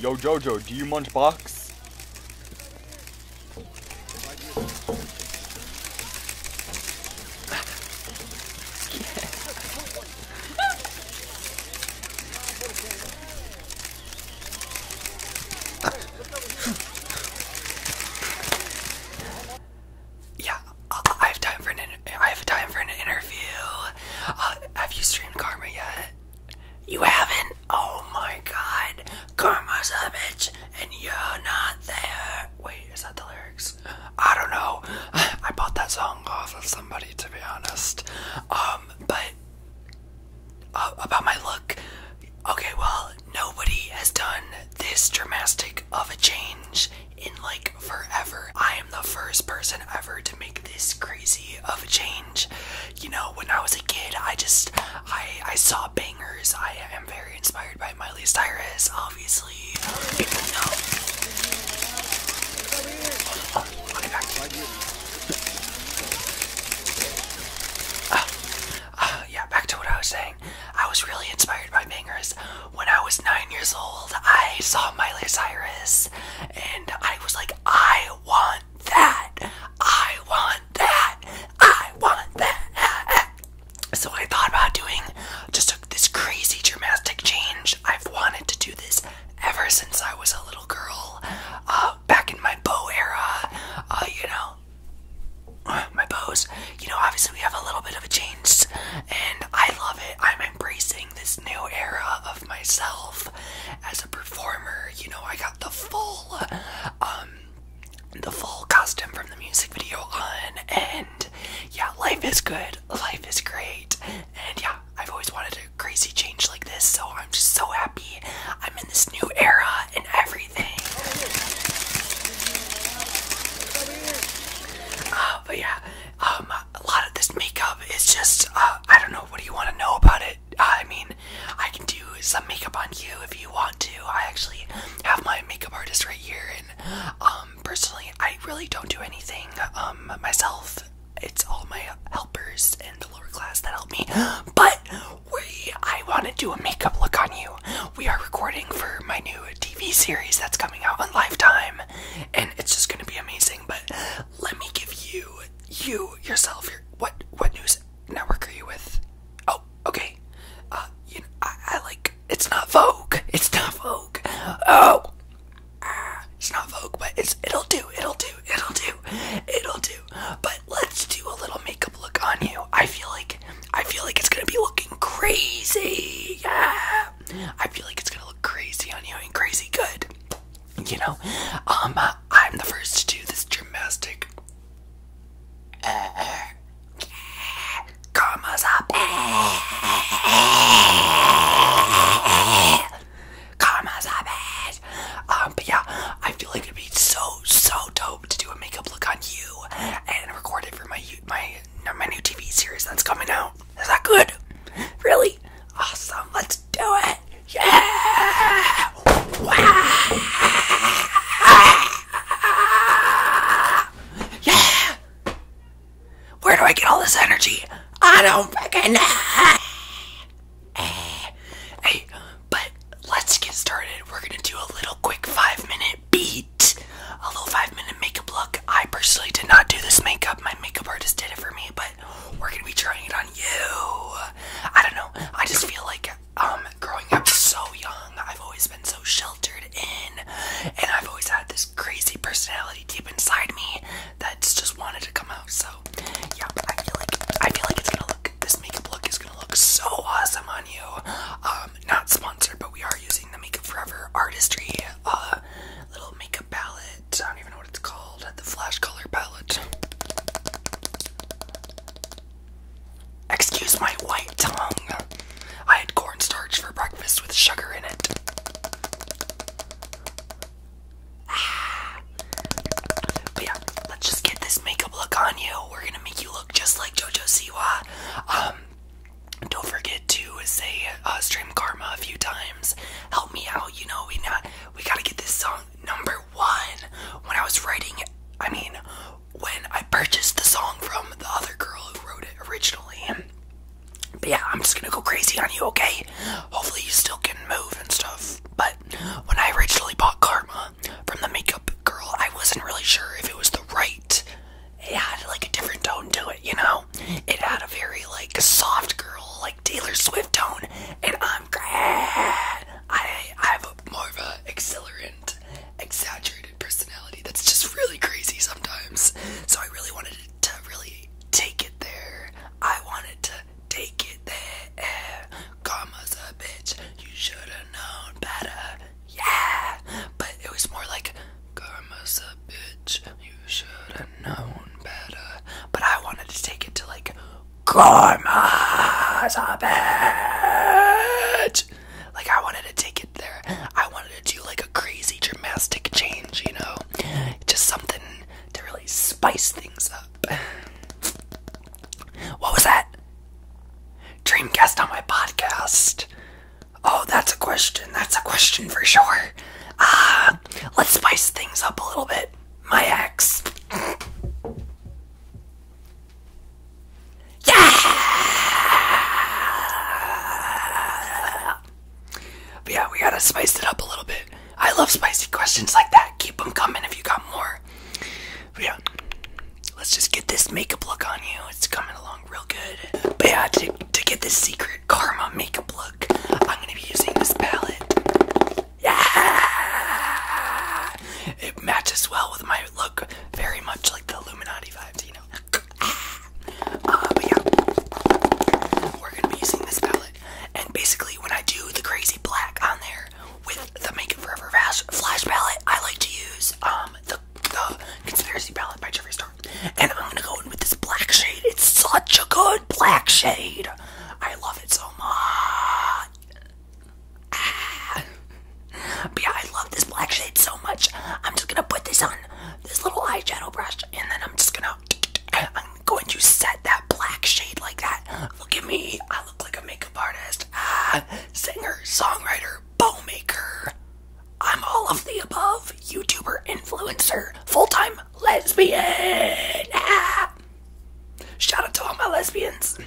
Yo, Jojo, do you munch box? yeah, uh, I have time for an I have time for an interview. Uh, have you streamed Karma yet? You haven't? Oh my god. Karma's a bitch and you're not there. Wait, is that the lyrics? I don't know. I bought that song off of somebody to be honest. Um, but uh, about my look. Okay, well, nobody has done this dramatic of a change in like forever. I am the first person ever to make this crazy of a change. You know, when I was a kid, I just I I saw bangers. I am very inspired by Miley Cyrus. Obviously, ah, ah, yeah, back to what I was saying. I was really inspired by bangers when I was nine years old. I saw Miley Cyrus and I was like, I want that. I want that. I want that. So I thought about doing just this crazy dramatic change. I've wanted to do this ever since I was a little girl, uh, back in my bow era. Uh, you know, my bows. You know, obviously we have a little bit of a change, and I love it. I'm embracing this new era of myself as a performer. You know, I got the full, um, the full costume from the music video on, and yeah, life is good, life is great, and yeah, I've always wanted a crazy change like this, so I'm just so happy I'm in this new era and everything. Uh, but yeah, um, a lot of this makeup is just, uh, I don't know, what do you want to know about it? I mean, I can do some makeup on you if you want to. I actually have my makeup artist right here, and um, personally, I really don't do anything um, myself. It's all my helpers and the lower class that help me. But we, I want to do a makeup look on you. We are recording for my new TV series that's coming out on Lifetime, and it's just gonna be amazing. But let me give you, you yourself, your what what news network are you with? Oh, okay. Uh, I, like it's not Vogue. It's not Vogue. Oh, ah, it's not Vogue, but it's it'll do. It'll do. It'll do. It'll do. But let's do a little makeup look on you. I feel like I feel like it's gonna be looking crazy. Yeah. I feel like it's gonna look crazy on you and crazy good. You know, um, uh, I'm the first to do this gymnastic. Karma's up. Karma's up. Um, but yeah, I feel like it'd be so so dope to do a makeup look on you and record it for my my my new TV series that's coming out. Is that good? Really? Awesome. Let's do it. Yeah! Yeah! Where do I get all this energy? I don't fucking know. Hey, but let's get started. We're gonna do a little quick five minute beat. A little five minute makeup look. I personally did not do this makeup. My makeup artist did it for me, but we're gonna be trying it on you. I don't know. I just feel like um growing up so young, I've always been so sheltered in, and I've always had this crazy personality deep inside me that's just wanted to come out. So yeah, I feel like I feel like it's gonna look. This makeup look is gonna look so awesome on you. Um, not sponsored, but we are using the Makeup Forever Artistry uh, little makeup palette. I don't even know what it's called. The Flash Color Palette. Excuse my white tongue. I had cornstarch for breakfast with sugar in it. Ah. But yeah, let's just get this makeup look on you. We're gonna make you look just like JoJo Siwa. Um, don't forget to say uh, stream karma a few times. Help me out, you know. We not we gotta get this song number one. When I was writing, it, I mean, when I purchased the song from the other girl who wrote it originally. But yeah, I'm just gonna go crazy on you, okay? Hopefully you still can move and stuff. But when I originally bought Karma from the makeup girl, I wasn't really sure if it was the right it had like a different tone to it, you know? It had a very like soft girl, like Taylor Swift tone, and I'm glad I I have more of a accelerant, exaggerated personality that's just really crazy sometimes. So I really wanted to really take it there. I wanted to take it there. Karma's a bitch. You should have known better yeah, but it was more like karma's bitch. You should have known better. But I wanted to take it to like karma's bitch. Like I wanted to take it there. I wanted to do like a crazy dramatic change, you know, just something to really spice things up. What was that? Dream guest on my podcast. Oh, that's a question. That's a question for sure. Uh, let's spice things up a little bit. My ex. Yeah! yeah, we gotta spice it up a little bit. I love spicy questions like that. Keep them coming if you got more. yeah let's just get this makeup look on you. It's coming along real good. But yeah, to, to get this secret karma makeup look, I'm gonna be using this palette. Yeah! It matches well with my look, very much like the Illuminati vibes, you know? Ah! Uh, but yeah, we're gonna be using this palette. And basically, when I do the crazy black on there, with the Make It Forever Flash palette. I like to use um, the, Conspiracy palette by Jeffrey Star. And I'm gonna go in with this black shade. It's such a good black shade. I love it so much. yeah, I love this black shade so much. I'm just gonna put this on this little eyeshadow brush, and then I'm just gonna. I'm going to set that black shade like that. Look at me. I look like a makeup artist. Ah, singer, songwriter, bow maker. I'm all of the above YouTuber, influencer, full time lesbian. Ah. Shout out to all my lesbians.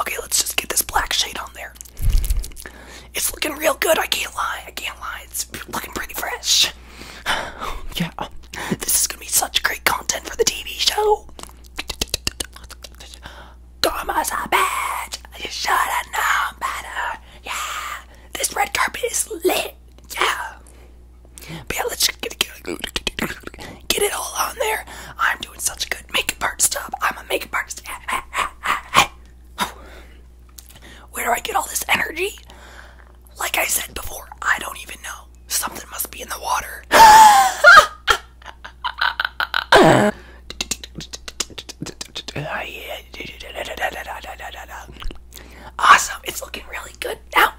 Okay, let's just get this black shade on there. It's looking real good, I can't lie, I can't lie. It's looking pretty fresh. Yeah, this is gonna be such great content for the TV show. Gorma's a bitch! You should have known better! Yeah! This red carpet is lit! Yeah! yeah, let's get, get it all on there. I'm doing such good makeup art stuff. I'm a makeup artist. Where do I get all this energy? Like I said before, I don't even know. Something must be in the water. Awesome. It's looking really good now.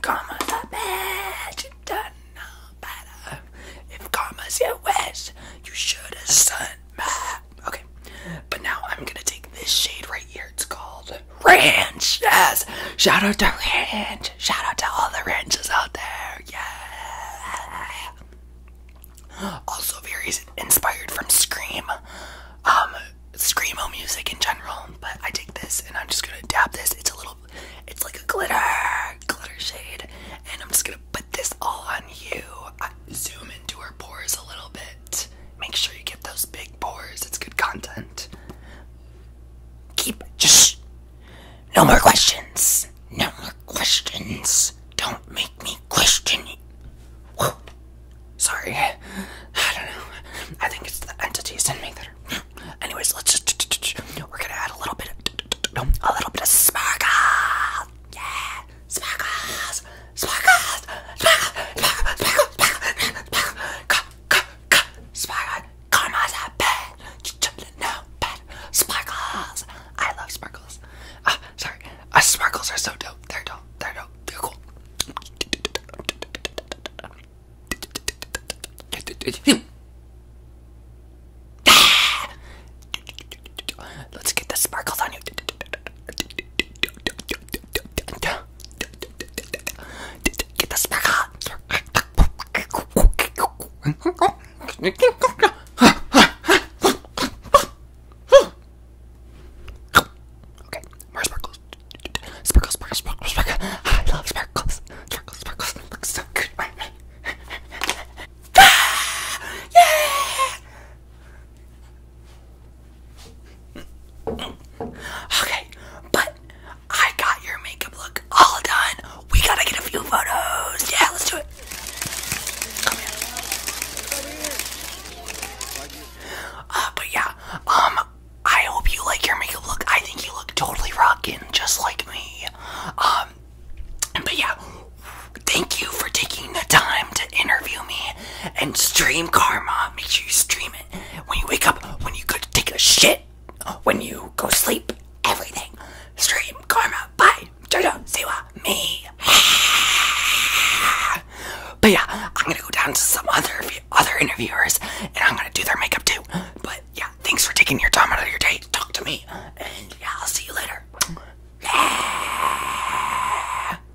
Karma's a match. no better. If karma's your wish, you should have sent Okay. But now I'm going to take this shade right here. It's called Ranch, yes. Shout out to Ranch. Shout out to all the ranches out there. Yeah. Also very inspired from Scream. Um Screamo music in general, but I take this and I'm just gonna dab this. It's a little it's like a glitter, glitter shade, and I'm just gonna put this all on you. zoom into her pores a little bit. Make sure you get those big pores, it's good content. Keep just no more questions. No more questions. Don't make me question. Whoa. Sorry. I don't know. I think it's the entities in me There. Anyways, let's just. We're gonna add a little bit of. A little bit of sparkle. Yeah. Sparkles. Sparkles. Sparkles. Sparkles. Sparkles. Sparkles. Sparkles. Sparkles. Sparkles sparkle, karma's a pet. No pet sparkles. I love sparkles. Uh, sorry, uh, sparkles are so dope. They're dope. They're dope. They're cool. Let's get the sparkles on you. Get this back on. Okay, more sparkles. Sparkles, sparkles, sparkles, sparkles. I love sparkles. Sparkles, sparkles. Looks so good. ah, yeah! Okay, but I got your makeup look all done. We gotta get a few photos. Yeah, let's do it. Come here. Uh, but yeah, um, I hope you like your makeup look. I think you look totally rockin', just like me. Um, but yeah, thank you for taking the time interview me and stream karma. Make sure you stream it when you wake up, when you go to take a shit, when you go sleep, everything. Stream karma. Bye. Jojo, Siwa, me. But yeah, I'm gonna go down to some other other interviewers and I'm gonna do their makeup too. But yeah, thanks for taking your time out of your day to talk to me. And yeah, I'll see you later.